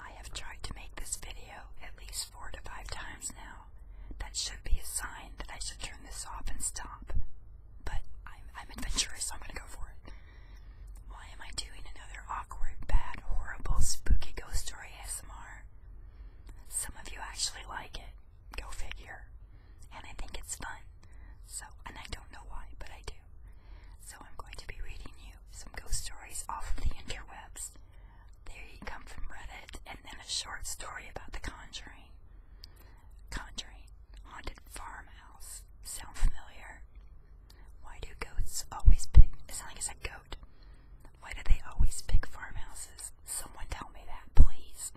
I have tried to make this video at least four to five times now. That should be a sign that I should turn this off and stop. But I'm, adventurous, so I'm gonna go for it. Why am I doing another awkward, bad, horrible, spooky ghost story ASMR? Some of you actually like it. Go figure. And I think it's fun. So, and I don't know why, but I do. So I'm going to be reading you some ghost stories off of the interwebs. They come from Reddit, and then a short story about the Conjuring. Conjuring, haunted farmhouse. Sound familiar? Why do goats always pick? It sounds like it's a goat. Why do they always pick farmhouses? Someone tell me that, please.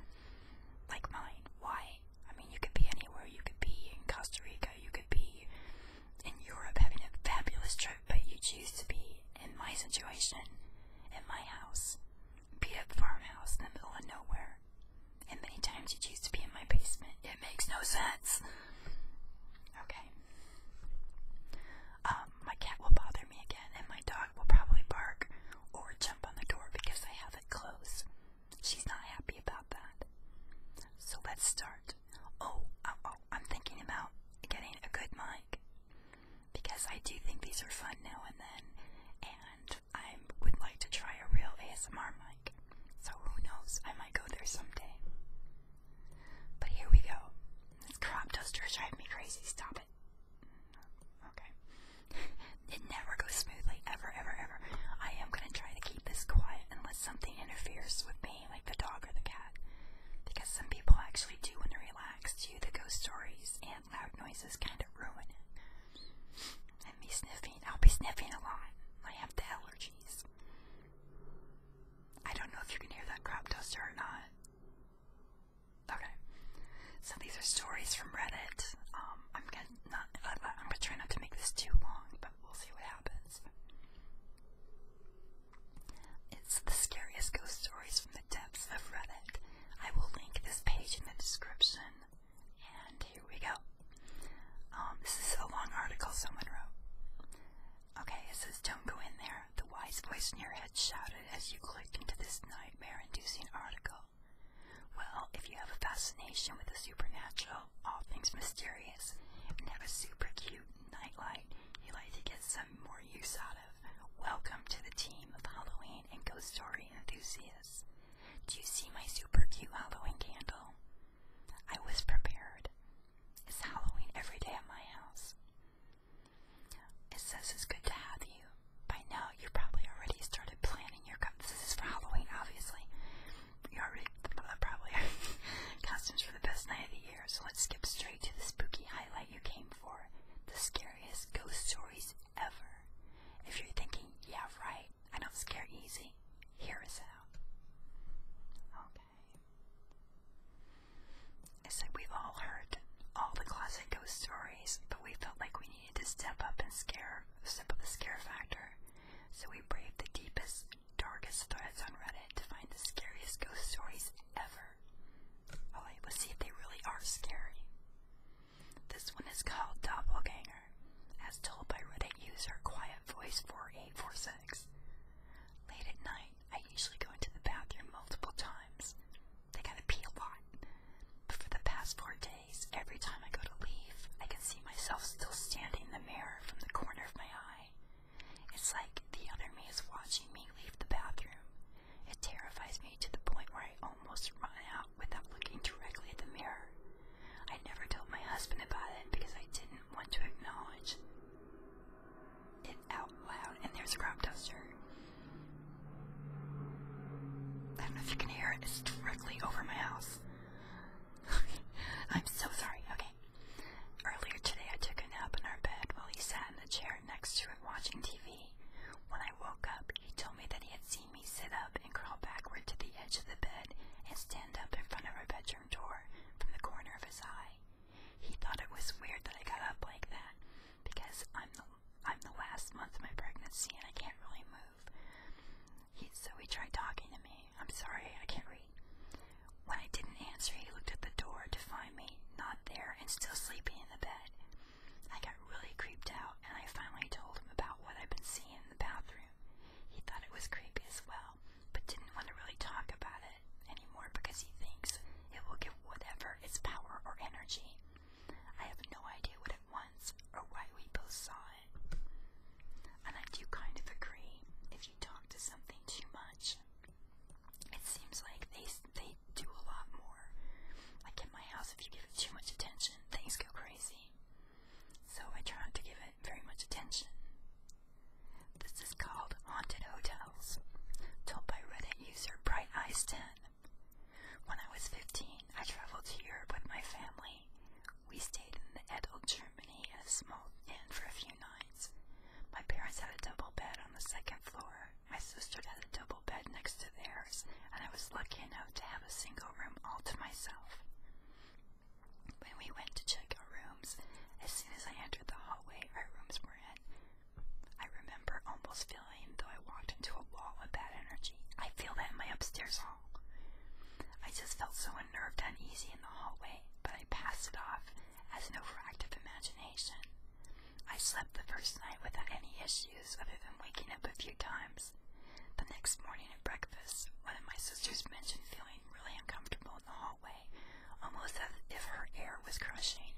Like mine. Why? I mean, you could be anywhere. You could be in Costa Rica. You could be in Europe having a fabulous trip, but you choose to be in my situation, in my house, beat up farmhouse in the middle of nowhere, and many times you choose to be in my basement. It makes no sense. Okay. Um, my cat will bother me again, and my dog will probably bark or jump on the door because I have it closed. She's not happy about that. So let's start. Oh, oh, oh, I'm thinking about getting a good mic because I do think these are fun now and then, and I would like to try a real ASMR mic. So who knows? I might go there someday. But here we go. This crop duster's driving me crazy. Stop it. Okay. it never goes smoothly, ever, ever, ever. I am gonna try to keep this quiet unless something interferes with me like the dog or the cat. Because some people actually do, want to relax. To do the ghost stories, and loud noises kind of ruin it. And me sniffing, I'll be sniffing a lot. I have the allergies. I don't know if you can hear that crop duster or not. Okay. So these are stories from Reddit. Um, I'm gonna not. I'm gonna try not to make this too long, but we'll see what happens. It's the scariest ghost stories from the depths of Reddit. I will link this page in the description. And here we go. Um, this is a long article someone wrote. Okay, it says, Don't go in there. The wise voice in your head shouted as you clicked into this nightmare inducing article. Well, if you have a fascination with the supernatural, all things mysterious, and have a super cute nightlight you'd like to get some more use out of. Welcome to the team of Halloween and ghost story enthusiasts. Do you see my super cute Halloween candle? I was prepared. It's Halloween every day at my house. It says it's good to have you. By now, you probably already started planning your. This is for Halloween, obviously. We already uh, probably costumes for the best night of the year, so let's skip straight to the spooky highlight you came for. The scariest ghost stories ever. If you're thinking, yeah, right, I don't scare easy, hear us out. Okay. I said we've all heard all the classic ghost stories, but we felt like we needed to step up and scare, step up the scare factor. So we braved the deepest darkest threads on Reddit to find the scariest ghost stories ever. Oh, All right, let's see if they really are scary. This one is called Doppelganger, as told by Reddit user Quiet Voice 4846. Late at night, I usually go into the bathroom multiple times. They gotta pee a lot. But for the past four days, every time I go to leave, I can see myself still standing in the mirror from the corner of my it's like the other me is watching me leave the bathroom. It terrifies me to the point where I almost run out without looking directly at the mirror. I never told my husband about it because I didn't want to acknowledge it out loud. And there's a crop duster. I don't know if you can hear it, it's directly over my house. I'm so sorry. Okay. Earlier today, I took a nap in our bed while he sat in the chair next to it watching TV. When I woke up, he told me that he had seen me sit up and crawl backward to the edge of the bed and stand up in front of our bedroom door from the corner of his eye. He thought it was weird that I got up like that because I'm the I'm the last month of my pregnancy and I can't really move. He, so he tried talking to me. I'm sorry, I can't read. When I didn't answer, he looked at the door to find me not there and still sleeping in the bed. I got really creeped out, and I finally told him about what i have been seeing in the bathroom. He thought it was creepy as well, but didn't want to really talk about it anymore because he thinks it will give whatever its power or energy. I have no idea what it wants or why we both saw it it. And I do kind of agree. If you talk to something too much, it seems like they they do a lot more. Like in my house, if you give it too much attention, things go crazy. So I try not to give it very much attention. This is called Haunted Hotels, told by Reddit user Bright Eyes 10. When I was 15, I traveled to Europe with my family we stayed in the Edel, Germany at a small inn for a few nights. My parents had a double bed on the second floor. My sister had a double bed next to theirs, and I was lucky enough to have a single room all to myself. When we went to check our rooms, as soon as I entered the hallway our rooms were in, I remember almost feeling, though I walked into a wall of bad energy, I feel that in my upstairs hall. I just felt so unnerved and uneasy in the hallway, but I passed it off as an overactive imagination. I slept the first night without any issues other than waking up a few times. The next morning at breakfast, one of my sisters mentioned feeling really uncomfortable in the hallway, almost as if her air was crushing.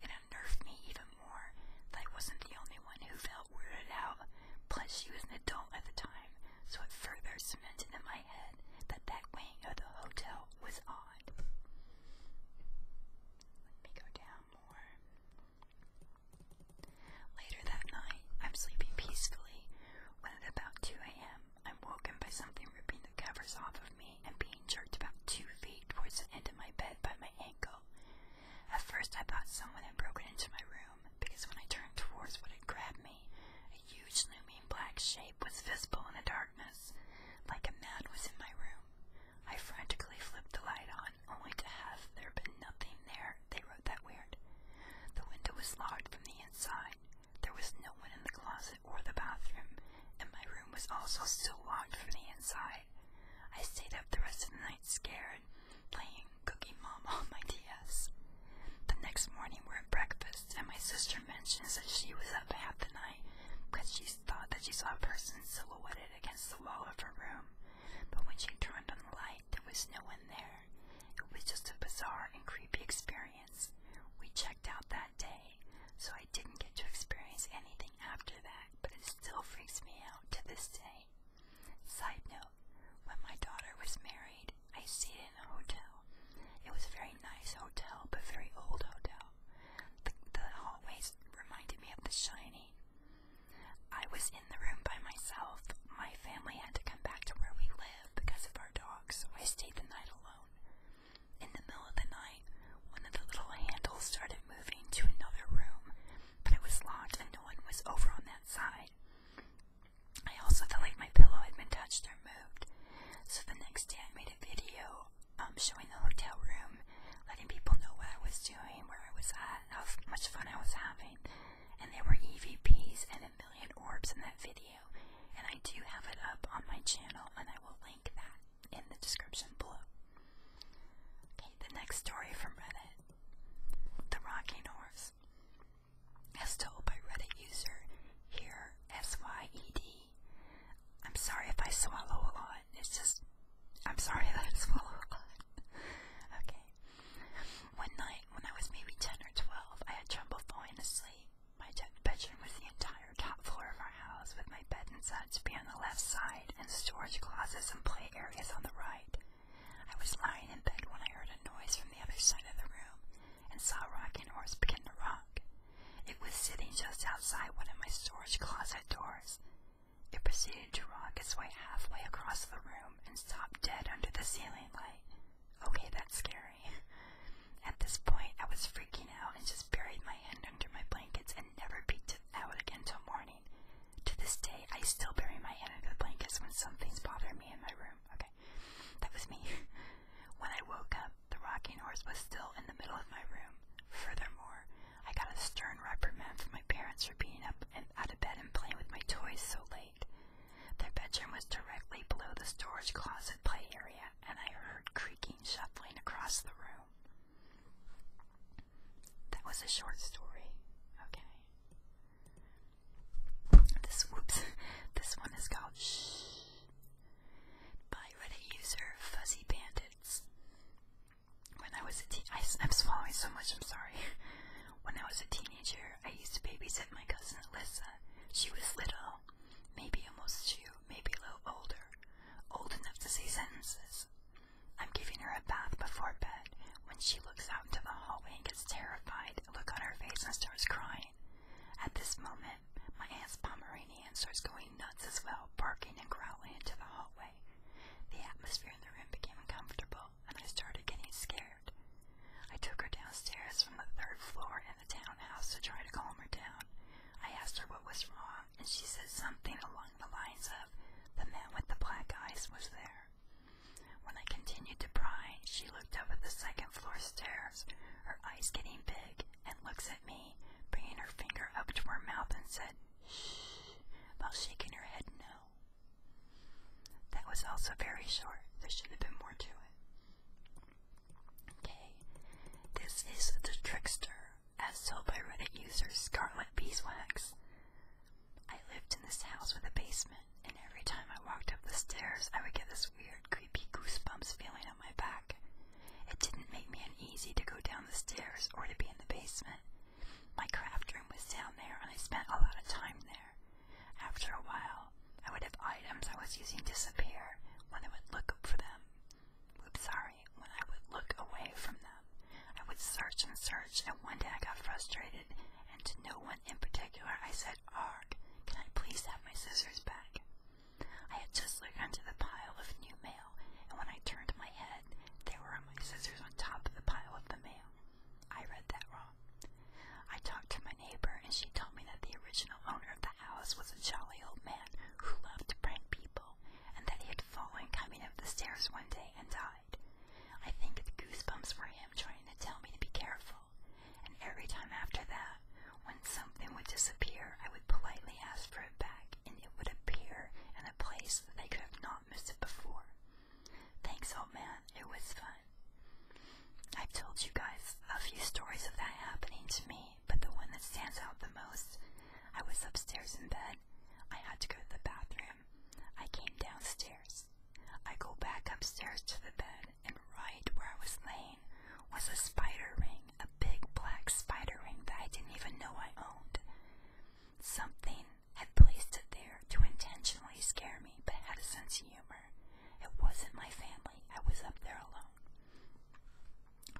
It unnerved me even more that I wasn't the only one who felt weirded out, plus she was an adult at the time, so it further cemented in my head that that wing of the hotel was odd. Let me go down more. Later that night, I'm sleeping peacefully when at about 2 a.m., I'm woken by something ripping the covers off of me and being jerked about two feet towards the end of my bed by my ankle. At first, I thought someone had broken into my room because when I turned towards what had grabbed me, a huge looming black shape was visible in the darkness. Like a mad was in my room. I frantically flipped the light on, only to have there been nothing there, they wrote that weird. The window was locked from the inside. There was no one in the closet or the bathroom, and my room was also still locked from the inside. I stayed up the rest of the night scared, playing Cookie Mom on my DS. The next morning we're at breakfast, and my sister mentions that she was up half the night because she thought that she saw a person silhouetted against the wall of her room. But when she turned on the light, there was no one there. It was just a bizarre and creepy experience. We checked out that day, so I didn't get to experience anything after that, but it still freaks me out to this day. Side note, when my daughter was married, I stayed in a hotel. It was a very nice hotel, but very old hotel. The, hallways reminded me of The Shining. I was in the room by myself. My family had to come back to where we live because of our dogs. so I stayed the night alone. In the middle of the night, one of the little handles started moving to another room, but it was locked and no one was over on that side. I also felt like my pillow had been touched or moved. So the next day I made a video um, showing the hotel room, letting people know what I was doing, where I was at, how much fun I was having. And there were EVPs and a million orbs in that video. And I do have it up on my channel, and I will link that in the description below. Okay, the next story from Reddit The Rocking Horse as told by Reddit user here SYED. I'm sorry if I swallow a lot. It's just, I'm sorry that I swallow a lot. okay. One night, when I was maybe 10 or 12, I had trouble falling asleep. My bedroom was the entire top floor of our house, with my bed and such being on the left side and storage closets and play areas on the right. I was lying in bed when I heard a noise from the other side of the room and saw a rocking horse begin to rock. It was sitting just outside one of my storage closet doors. It proceeded to rock its way halfway across the room and stopped dead under the ceiling light. Okay, that's scary. At this point, I was freaking out and just buried my head under my blankets and never peeked out again until morning. To this day, I still bury my head under the blankets when something's bothering me in my room. Okay, that was me. when I woke up, the rocking horse was still in the middle of my room. Furthermore, I got a stern reprimand from my parents for being up and out of bed and playing with my toys so late. Their bedroom was directly below the storage closet play area, and I heard creaking, shuffling across the room. That was a short story. Okay. This whoops, this one is called Shh by Reddit user Fuzzy Bandits. When I was a teen, I, I'm swallowing so much. I'm sorry. When I was a teenager, I used to babysit my cousin Alyssa. She was little, maybe almost two, maybe a little older, old enough to say sentences. I'm giving her a bath before bed, when she looks out into the hallway and gets terrified, look on her face and starts crying. At this moment, my aunt's Pomeranian starts going nuts as well, barking and growling into the hallway. The atmosphere in the room became uncomfortable, and I started getting scared. I took her downstairs from the third floor in the townhouse to try to calm her down. I asked her what was wrong, and she said something along the lines of, The man with the black eyes was there. When I continued to pry, she looked up at the second floor stairs, her eyes getting big, and looks at me, bringing her finger up to her mouth and said, shh, while shaking her head no. That was also very short. There should have been more to it. Okay, this is the trickster, as told by Reddit user Scarlet I lived in this house with a basement, and every time I walked up the stairs, I would get this weird, creepy goosebumps feeling on my back. It didn't make me uneasy to go down the stairs or to be in the basement. My craft room was down there, and I spent a lot of time there. After a while, I would have items I was using disappear when I would look for them. Oops, sorry, when I would look away from them. I would search and search, and one day I got frustrated, and to no one's one in particular, I said, Arg, can I please have my scissors back? I had just looked under the pile of new mail, and when I turned my head, there were my scissors on top of the pile of the mail. I read that wrong. I talked to my neighbor, and she told me that the original owner of the house was a jolly old man who loved to prank people, and that he had fallen coming up the stairs one day and died side. I think the goosebumps were him trying to tell me to be careful, and every time after that, when something would disappear, I would politely ask for it back, and it would appear in a place that I could have not missed it before. Thanks, old man. It was fun. I've told you guys a few stories of that happening to me, but the one that stands out the most, I was upstairs in bed. I had to go to the bathroom I came downstairs. I go back upstairs to the bed, and right where I was laying was a spider ring, a big black spider ring that I didn't even know I owned. Something had placed it there to intentionally scare me, but had a sense of humor. It wasn't my family, I was up there alone.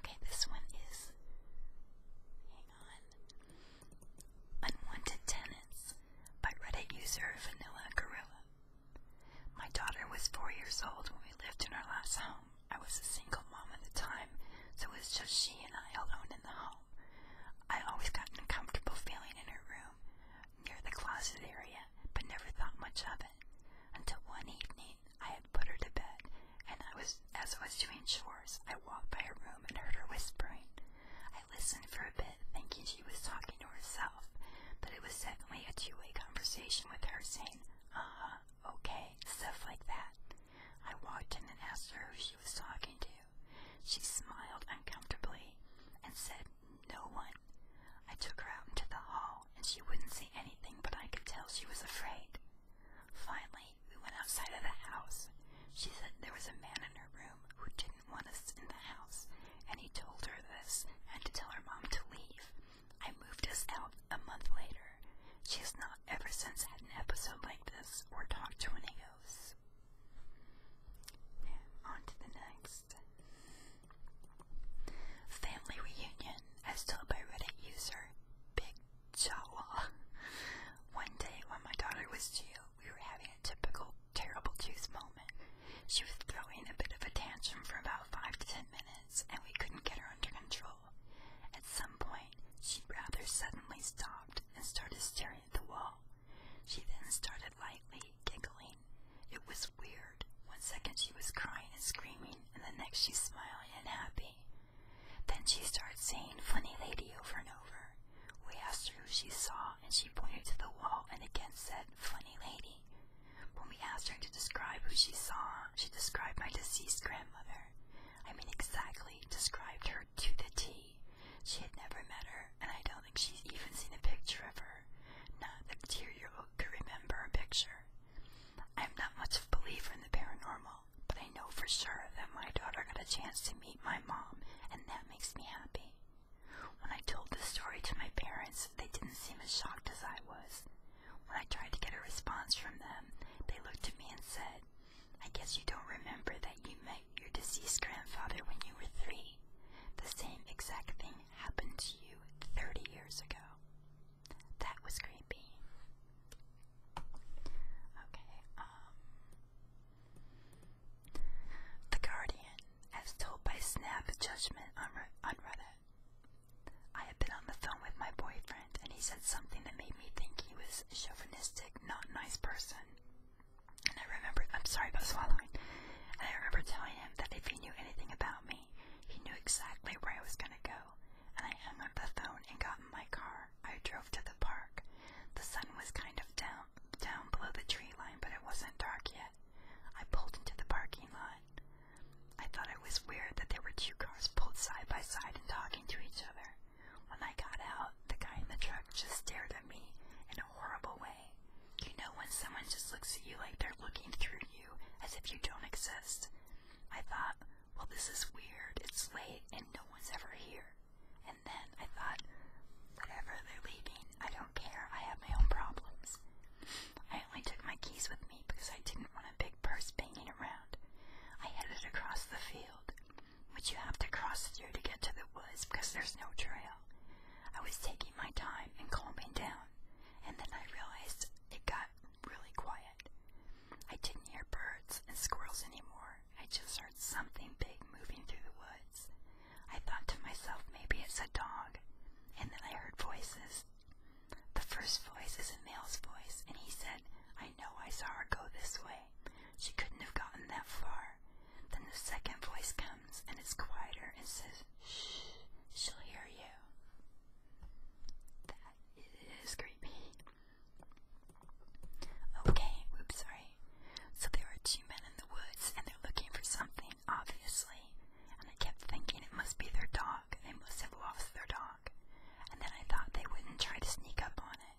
Okay, this one is. Hang on. Unwanted Tenants by Reddit user Vanilla Gorilla. My daughter was four years old when we lived in our last home. I was a single mom at the time, so it was just she and I alone in the home. I always got an uncomfortable feeling in her room, near the closet area, but never thought much of it. Until one evening, I had put her to bed, and I was as I was doing chores, I walked by her room and heard her whispering. I listened for a bit, thinking she was talking to herself, but it was definitely a two way conversation with her saying, uh huh, okay, stuff like that. I walked in and asked her who she was talking to. She smiled uncomfortably and said, No one. I took her out into the hall and she wouldn't say anything, but I could tell she was afraid. Finally, we went outside of the house she said there was a man in her room who didn't want us in the house, and he told her this and to tell her mom to leave. I moved us out a month later. She has not ever since had an episode like this or talked to any ghosts. On to the next. Family reunion, as told by Reddit user Big Jawa. One day when my daughter was two, we were having a typical terrible juice moment. She was throwing a bit of a tantrum for about five to ten minutes, and we couldn't get her under control. At some point, she rather suddenly stopped and started staring at the wall. She then started lightly giggling. It was weird. One second she was crying and screaming, and the next she's smiling and happy. Then she starts saying funny lady over and over. We asked her who she saw, and she pointed to the wall and again said, Funny lady. When we asked her to describe who she saw, she described my deceased grandmother. I mean, exactly described her to the T. She had never met her, and I don't think she's even seen a picture of her. Not that Tyrio could remember a picture. I'm not much of a believer in the paranormal, but I know for sure that my daughter got a chance to meet my mom, and that makes me happy me. When I told the story to my parents, they didn't seem as shocked as I was. When I tried to get a response from them, they looked at me and said, I guess you don't remember that you met your deceased grandfather when you were three. The same exact thing happened to you 30 years ago. That was creepy. Okay, um, the Guardian, as told by Snap Judgment on, on Reddit. I had been on the phone with my boyfriend, and he said something that made me think he was a chauvinistic, not nice person. And I remember, I'm sorry about swallowing. And I remember telling him that if he knew anything about me, he knew exactly where I was going to go. And I hung up the phone and got in my car car. I drove to the park. The sun was kind of down down below the tree line, but it wasn't dark yet. I pulled into the parking lot. I thought it was weird that there were two cars pulled side by side and talking to each other. When I got out, the guy in the truck just stared at me in a horrible way. You know when someone just looks at you like they're looking through you as if you don't exist? I thought, well, this is weird. It's late and no one's ever here. And then I thought, whatever, they're leaving. I don't care. I have my own problems. I only took my keys with me because I didn't want a big purse banging around. I headed across the field, which you have to cross through to get to the woods because there's no trail. I was taking my time and calming down, and then I realized it got really quiet. I didn't hear birds and squirrels anymore. I just heard something big moving through the woods. I thought to myself, maybe it's a dog, and then I heard voices. The first voice is a male's voice, and he said, I know I saw her go this way. She couldn't have gotten that far. Then the second voice comes, and it's quieter and says, Shh, she'll hear you. That is creepy. Okay, oops, sorry. So there are two men in the woods and they're looking for something, obviously. And I kept thinking it must be their dog. They must have lost their dog. And then I thought they wouldn't try to sneak up on it.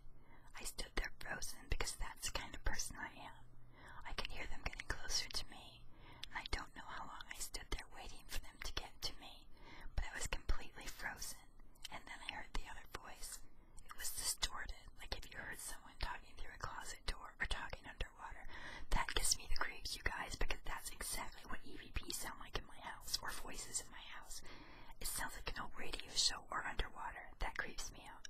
I stood there frozen because that's the kind of person I am. I could hear them getting closer to me, and I don't know how long I stood there waiting for them to get to me, but I was completely frozen. And then I heard the other voice. It was distorted, like if you heard someone talking through a closet door or talking underwater. That gives me the creeps, you guys, because that's exactly what EVP sound like in my house, or voices in my house. It sounds like an old radio show or underwater. That creeps me out.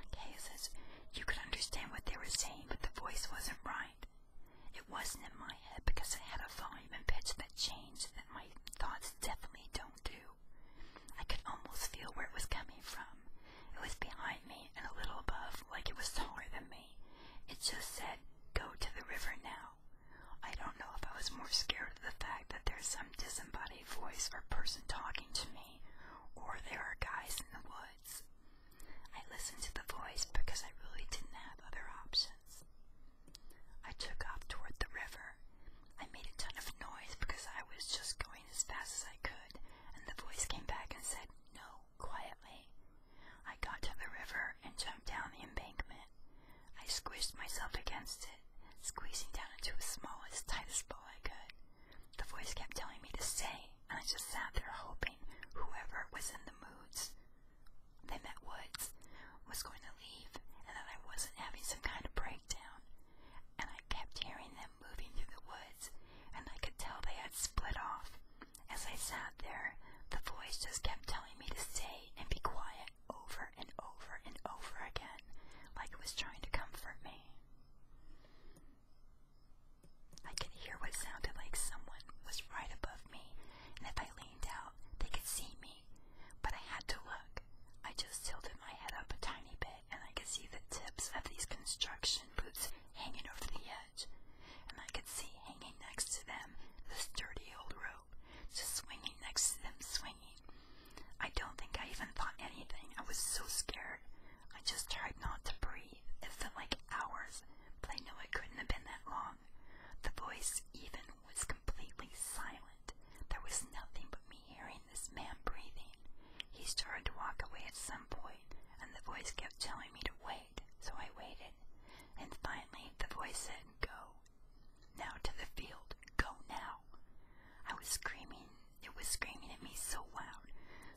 Okay, it says, you could understand what they were saying, but the voice wasn't right. It wasn't in my head because it had a volume and pitch that changed that my thoughts definitely don't don't do. I could almost feel where it was coming from. It was behind me and a little above, like it was taller than me. It just said, Go to the river now. I don't know if I was more scared of the fact that there's some disembodied voice or person talking to me, or there are guys in the woods. I listened to the voice because I really didn't have other options. I took off toward the river her. I made a ton of noise because I was just going as fast as I could, and the voice came back and said, No, quietly. I got to the river and jumped down the embankment. I squished myself against it, squeezing down into as small as tight as ball I could. The voice kept telling me to stay, and I just sat there hoping whoever was in the moods they met Woods was going to leave, and that I wasn't having some kind of breakdown and I kept hearing them moving through the woods, and I could tell they had split off. As I sat there, the voice just kept telling me to stay and be quiet over and over and over again, like it was trying to comfort me. I could hear what sounded like someone was right above me, and if I leaned out, they could see me but I had to look. I just tilted my head up a tiny bit, and I could see the tips of these construction boots hanging over the edge, and I could see hanging next to them this dirty old rope, just swinging next to them, swinging. I don't think I even thought anything. I was so scared. I just tried not to breathe. It felt like hours, but I know it couldn't have been that long. The voice even was completely silent. There was nothing but me hearing hearing this man breathing. He started to walk away at some point, and the voice kept telling me to wait, so I waited. And finally, the voice said, Go. Now to the field. Go now. I was screaming. It was screaming at me so loud.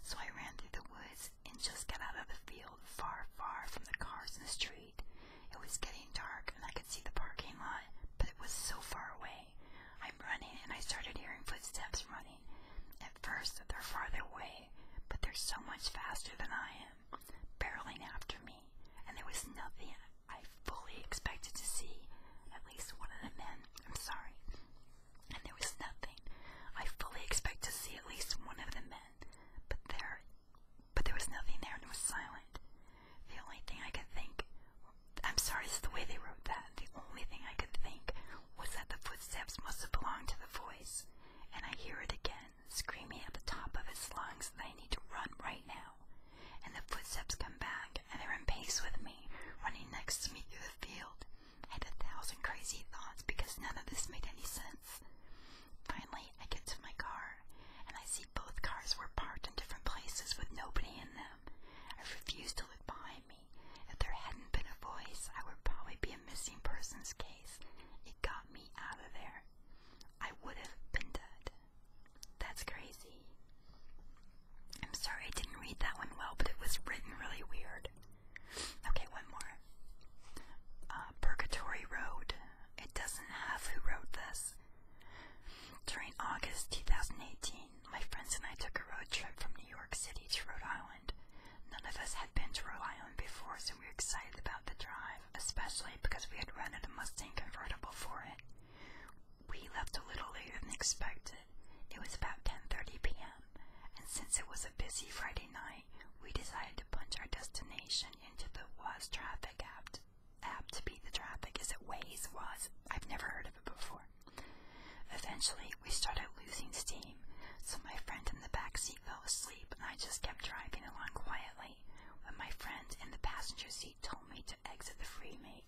So I ran through the woods and just got out of the field, far, far from the cars in the street. It was getting dark, and I could see the parking lot, but it was so far away away. I'm running and I started hearing footsteps running. At first, they're farther away, but they're so much faster than I am, barreling after me, and there was nothing I fully expected to see. At least one of the men, I'm sorry. And there was nothing I fully expect to see at least one of the men, but there, but there was nothing there, and it was silent. The only thing I could think, I'm sorry, it's the way they wrote that. The only thing I could think was that the footsteps must have belonged to the voice, and I hear it again, screaming at the top of its lungs that I need to run right now. And the footsteps come back, and they're in pace with me, running next to me through the field. and a thousand crazy thoughts because none of this made any sense. Finally, I get to my car, and I see see both cars were parked in different places with nobody in them. I refused to look behind me. If there hadn't been a voice, I would probably be a missing persons case. It got me out of there. I would have been dead. That's crazy. I'm sorry I didn't read that one well, but it was written really weird. Okay, one more. Uh, Purgatory Road. It doesn't have who wrote this. During August 2018, my friends and I took a road trip from New York City to Rhode Island. None of us had been to Rhode Island before, so we were excited about the drive, especially because we had rented a Mustang convertible for it. We left a little later than expected. It was about 10:30 p.m., and since it was a busy Friday night, we decided to punch our destination into the was traffic app apt to beat the traffic as it Waze was. I've never heard of it before. Eventually, we started losing steam, so my friend in the back seat fell asleep, and I just kept driving along quietly. When my friend in the passenger seat told me to exit the freeway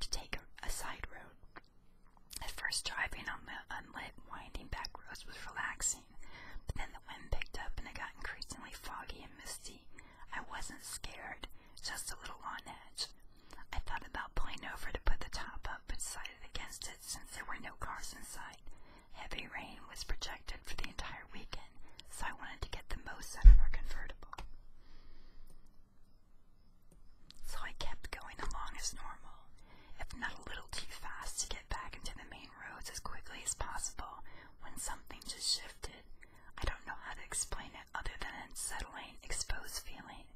to take a, a side road, at first driving on the unlit, winding back roads was relaxing, but then the wind picked up and it got increasingly foggy and misty. I wasn't scared, just a little on edge. I thought about pulling over to put the top up, but decided against it since there were no cars in sight. Heavy rain was projected for the entire weekend, so I wanted to get the most out of our convertible. So I kept going along as normal, if not a little too fast to get back into the main roads as quickly as possible when something just shifted. I don't know how to explain it other than an unsettling, exposed feeling.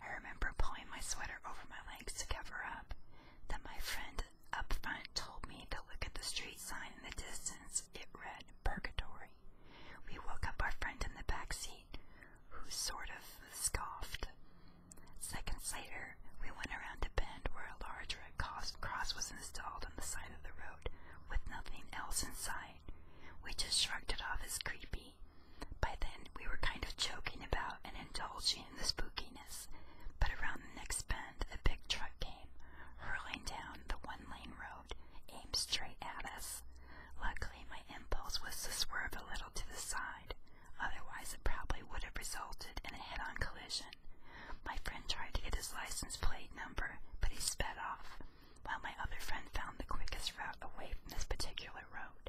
I remember pulling my sweater over my legs to cover up. Then my friend up front told me to look at the street sign in the distance. It read Purgatory. We woke up our friend in the back seat, who sort of scoffed. Seconds later, we went around a bend where a large red cross was installed on the side of the road with nothing else inside. We just shrugged it off as creepy. By then, we were kind of joking about and indulging in the spookiness, but around the next bend, a big truck came, hurling down the one lane road, aimed straight at us. Luckily, my impulse was to swerve a little to the side, otherwise, it probably would have resulted in a head on collision. My friend tried to get his license plate number, but he sped off, while my other friend found the quickest route away from this particular road.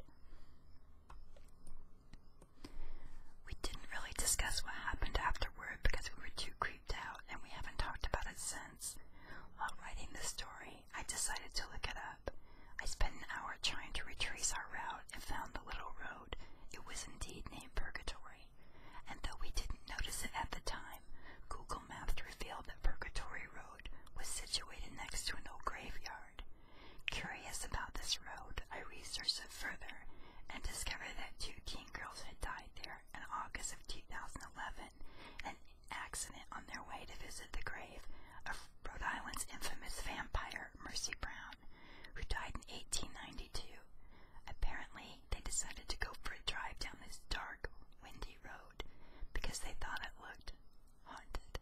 We didn't really discuss what happened afterward because we were too creeped out and we haven't talked about it since. While writing this story, I decided to look it up. I spent an hour trying to retrace our route and found the little road. It was indeed named Purgatory and though we didn't notice it at the time, Google Maps revealed that Purgatory Road was situated next to an old graveyard. Curious about this road, I researched it further and discovered that two teen girls had died there in August of 2011 an accident on their way to visit the grave of Rhode Island's infamous vampire Mercy Brown, who died in 1892. Apparently, they decided to go for a drive down this dark, windy road because they thought it looked haunted.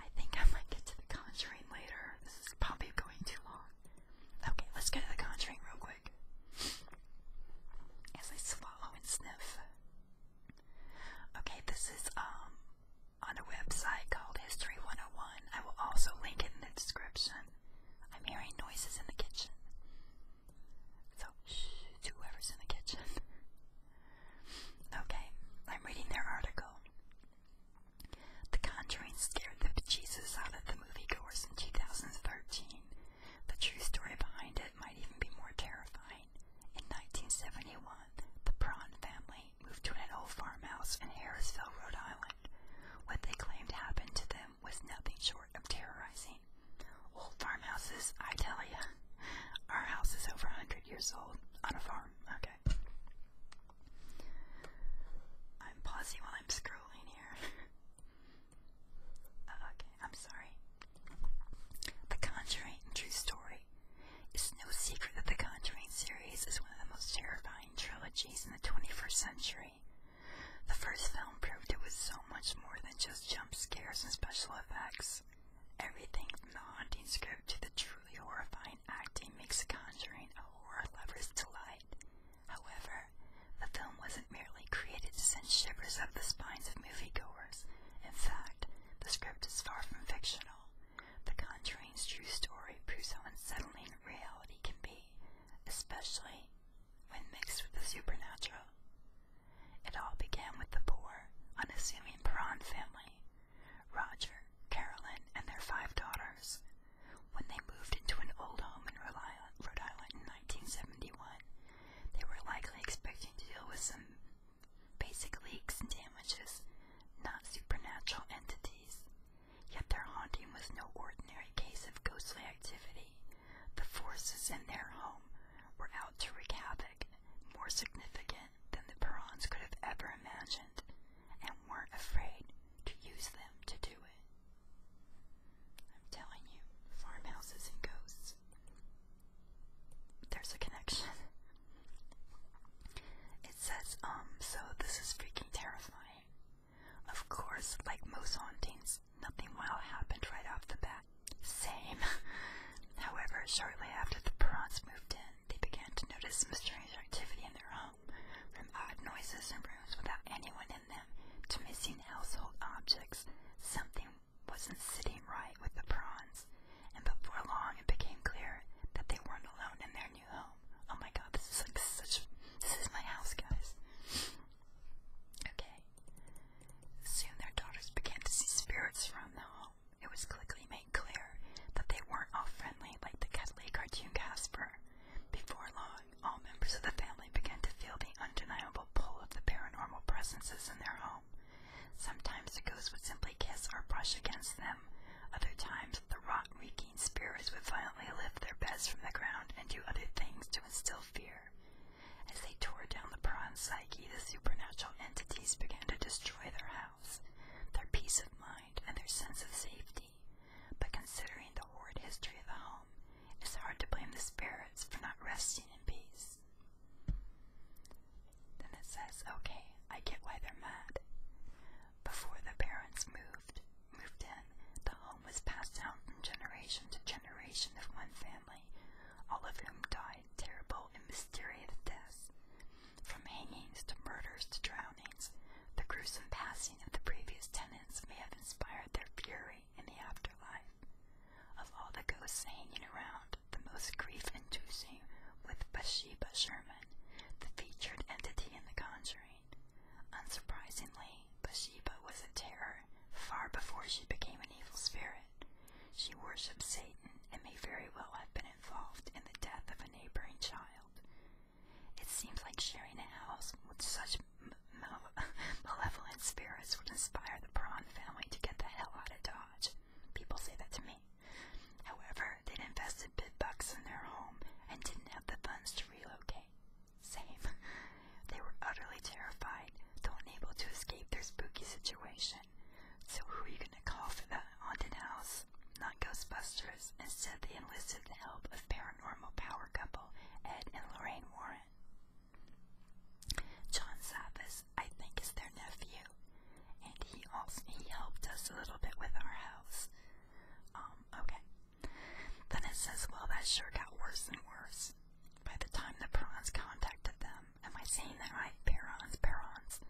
I think I might get to the conjuring later. This is probably going too long. Okay, let's get to the conjuring real quick. As I swallow and sniff. Okay, this is um on a website called History 101. I will also link it in the description. I'm hearing noises in the kitchen. So, shh, to whoever's in the kitchen. okay, I'm reading their article. The Conjuring scared the bejesus out of the moviegoers in 2013. The true story behind it might even be more terrifying. In 1971, the Prawn family moved to an old farmhouse in Harrisville, Rhode Island. What they claimed happened to them was nothing short of terrorizing. Old farmhouses, I tell ya. Our house is over a hundred years old on a farm. Okay. I'm pausing while I'm scrolling here. Uh, okay, I'm sorry. The Conjuring True Story. is no secret that the Conjuring series is one of the most terrifying trilogies in the 21st century story. The first film proved it was so much more than just jump scares and special effects. Everything from the haunting script to the truly horrifying acting makes Conjuring a horror lover's delight. However, the film wasn't merely created to send shivers up the spines of moviegoers. In fact, the script is far from fictional. The Conjuring's true story proves how unsettling reality can be, especially when mixed with the supernatural. It all began with the poor, unassuming Perron family, Roger, Carolyn, and their five daughters, when they moved into an old home in Rhode Island in 1971. They were likely expecting to deal with some basic leaks and damages, not supernatural entities. Yet their haunting was no ordinary case of ghostly activity. The forces in their home were out to wreak havoc, more significant than the Perrons could have ever imagined, and weren't afraid to use them to do it. I'm telling you, farmhouses and ghosts. There's a connection. It says, um, so this is freaking terrifying. Of course, like most hauntings, nothing wild happened right off the bat. Same. However, shortly after the Perrons moved in, they began to notice some strange activity in their home, from odd noises in rooms without anyone in them to missing household objects. Something wasn't sitting right with the Perrons, and before long it became clear that they weren't alone in their new home home. Oh my god, this is like such. This is my house, guys. Okay. Soon their daughters began to see spirits from the home. It was quickly made clear that they weren't all friendly like the cuddly cartoon Casper. Before long, all members of the family began to feel the undeniable pull of the paranormal presences in their home. Sometimes the ghost would simply kiss or brush against them. Other times, the rot reeking spirits would violently lift their beds from the ground and do other things to instill fear. As they tore down the prawn psyche, the supernatural entities began to destroy their house, their peace of mind, and their sense of safety. But considering the horrid history of the home, it's hard to blame the spirits for not resting in peace. Then it says, okay, I get why they're mad. Before the parents moved, moved in, the home was passed down from generation to generation of one family, all of whom died terrible and mysterious deaths. From hangings to murders to drownings, the gruesome passing of the previous tenants may have inspired their fury in the afterlife. Of all the ghosts hanging around, the most grief-inducing was Bathsheba Sherman, the featured entity in The Conjuring. Unsurprisingly, Bathsheba was a terror far before she became an evil spirit. She worshipped Satan and may very well have been involved in the death of a neighboring child. It seems like sharing a house with such malevolent spirits would inspire the Prawn family to get the hell out of Dodge. People say that to me. However, they'd invest and bed bugs in their home and didn't have the funds to relocate. Same. they were utterly terrified, though unable to escape their spooky situation. So who are you gonna call for that haunted house? Not Ghostbusters. Instead, they enlisted the help of paranormal power couple Ed and Lorraine Warren. John Savas, I think, is their nephew, and he also he helped us a little bit with our house. Um, okay, then it says, well, that sure got worse and worse. By the time the Perrons contacted them, am I saying that right? Perrons, Perrons.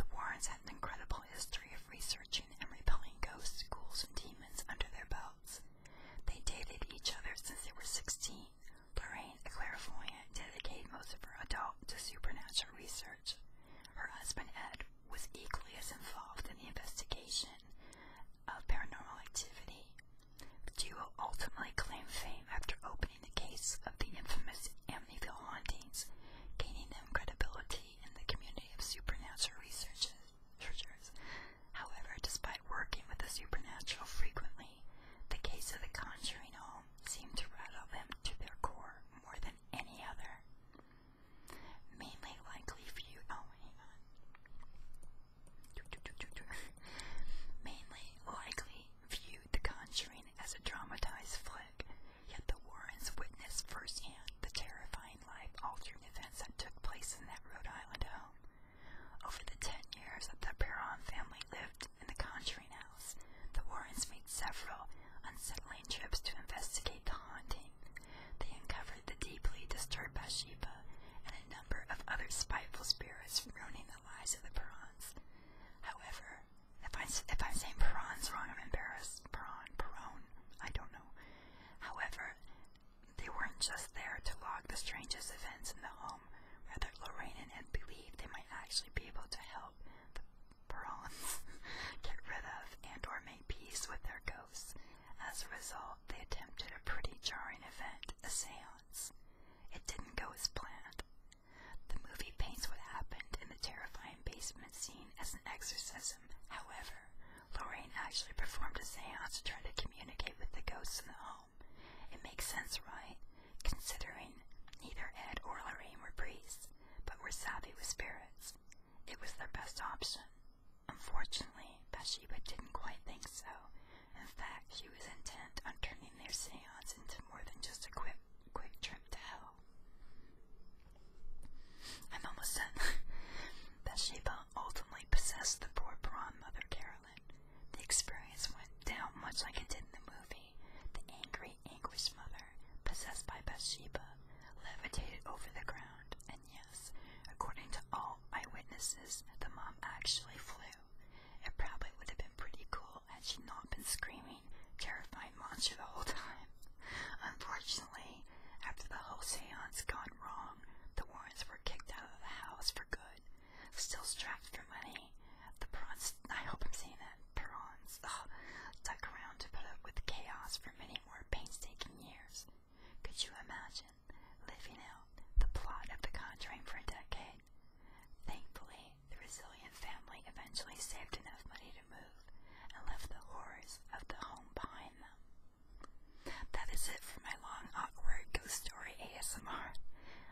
The Warrens had an incredible history of researching and repelling ghosts, ghouls, and demons under their belts. They dated each other since they were 16. Lorraine, a clairvoyant, dedicated most of her adult to supernatural research. Her husband, Ed, was equally as involved in the investigation of paranormal activity. The duo ultimately claimed fame after opening the case of the infamous Amityville hauntings, gaining them credibility in the community of supernatural researchers. However, despite working with the supernatural frequently, the case of the Conjuring Home seemed to rattle them to their core more than any other. Mainly likely for Oh, hang on. Mainly likely viewed The Conjuring as a dramatized flick, yet the Warrens witnessed firsthand the terrifying life-altering events that took place in that Rhode Island home. Over the ten years that the Perron family lived in the Conjuring house, the Warrens made several unsettling trips to investigate the haunting. They uncovered the deeply disturbed Bathsheba and a number of other spiteful spirits ruining the lives of the Perrons. However, if, I, if I'm saying Perrons wrong, I'm embarrassed. Perron, Perron, I don't know. However, they weren't just there to log the strangest events in the home. Rather, Lorraine and Ed believed they might actually be able to help Perons get rid of and or make peace with their ghosts. As a result, they attempted a pretty jarring event, a seance. It didn't go as planned. The movie paints what happened in the terrifying basement scene as an exorcism. However, Lorraine actually performed a seance to try to communicate with the ghosts in the home. It makes sense, right? Considering neither Ed or Lorraine were priests, but were savvy with spirits. It was their best option. Unfortunately, Bashiba didn't quite think so. In fact, she was intent on turning their seance into more than just a quick, quick trip to hell. I'm almost done. Bathsheba ultimately possessed the poor prawn mother, Carolyn. The experience went down much like it did in the movie. The angry, anguished mother possessed by Bathsheba, levitated over the ground, and yes, according to all eyewitnesses, the mom actually flew. It probably would have been pretty cool had she not been screaming, terrifying monster the whole time. Unfortunately, after the whole seance gone wrong, the Warrens were kicked out of the house for good, still strapped for money. The prons I hope I'm saying that, prawns, stuck around to put up with chaos for many more painstaking years. Could you imagine living out the plot of The Conjuring for a decade? Thankfully, the resilient family eventually saved enough money to move and left the horrors of the home behind them. That is it for my long, awkward ghost story ASMR.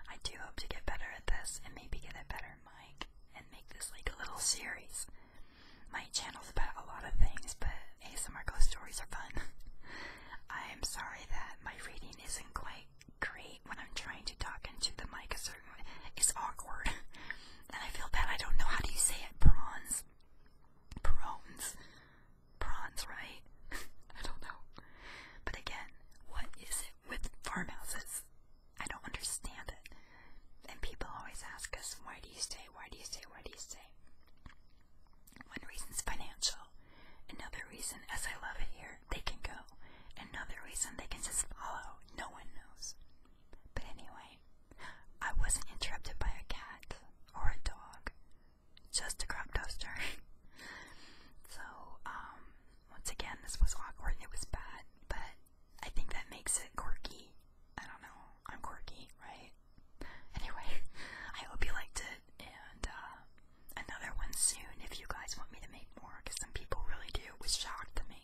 I do hope to get better at this and maybe get a better mic and make this like a little series my channel's about a lot of things, but ASMR ghost stories are fun. I'm sorry that my reading isn't quite great when I'm trying to talk into the mic a certain way. It's awkward. and I feel bad. I don't know how do you say it. Prawns. Prawns. Prawns, right? I don't know. But again, what is it with farmhouses? I don't understand it and people always ask us, why do you stay? Why do you stay? Why do you stay? One reason's financial. Another reason, as I love it here, they can go. Another reason, they can just follow. No one knows. But anyway, I wasn't interrupted by a cat or a dog, just a crop toaster. so, um, once again, this was awkward and it was bad, but I think that makes it quirky. I don't know. I'm quirky, right? Anyway, I hope you liked it, and uh, another one soon if you guys want me to make more, because some people really do. was shocked to me.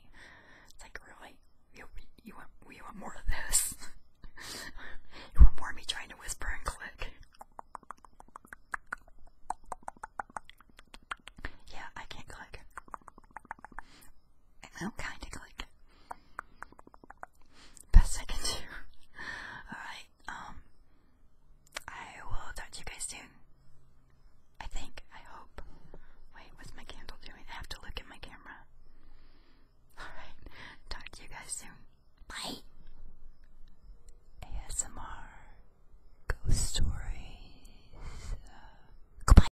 It's like, really? You, you, want, you want more of this? you want more of me trying to whisper and click? Yeah, I can't click. I'm kind of like best I can do. Alright, um, I will talk to you guys soon. I think, I hope. Wait, what's my candle doing? I have to look at my camera. Alright, talk to you guys soon. Bye! ASMR Ghost Stories. Uh, goodbye!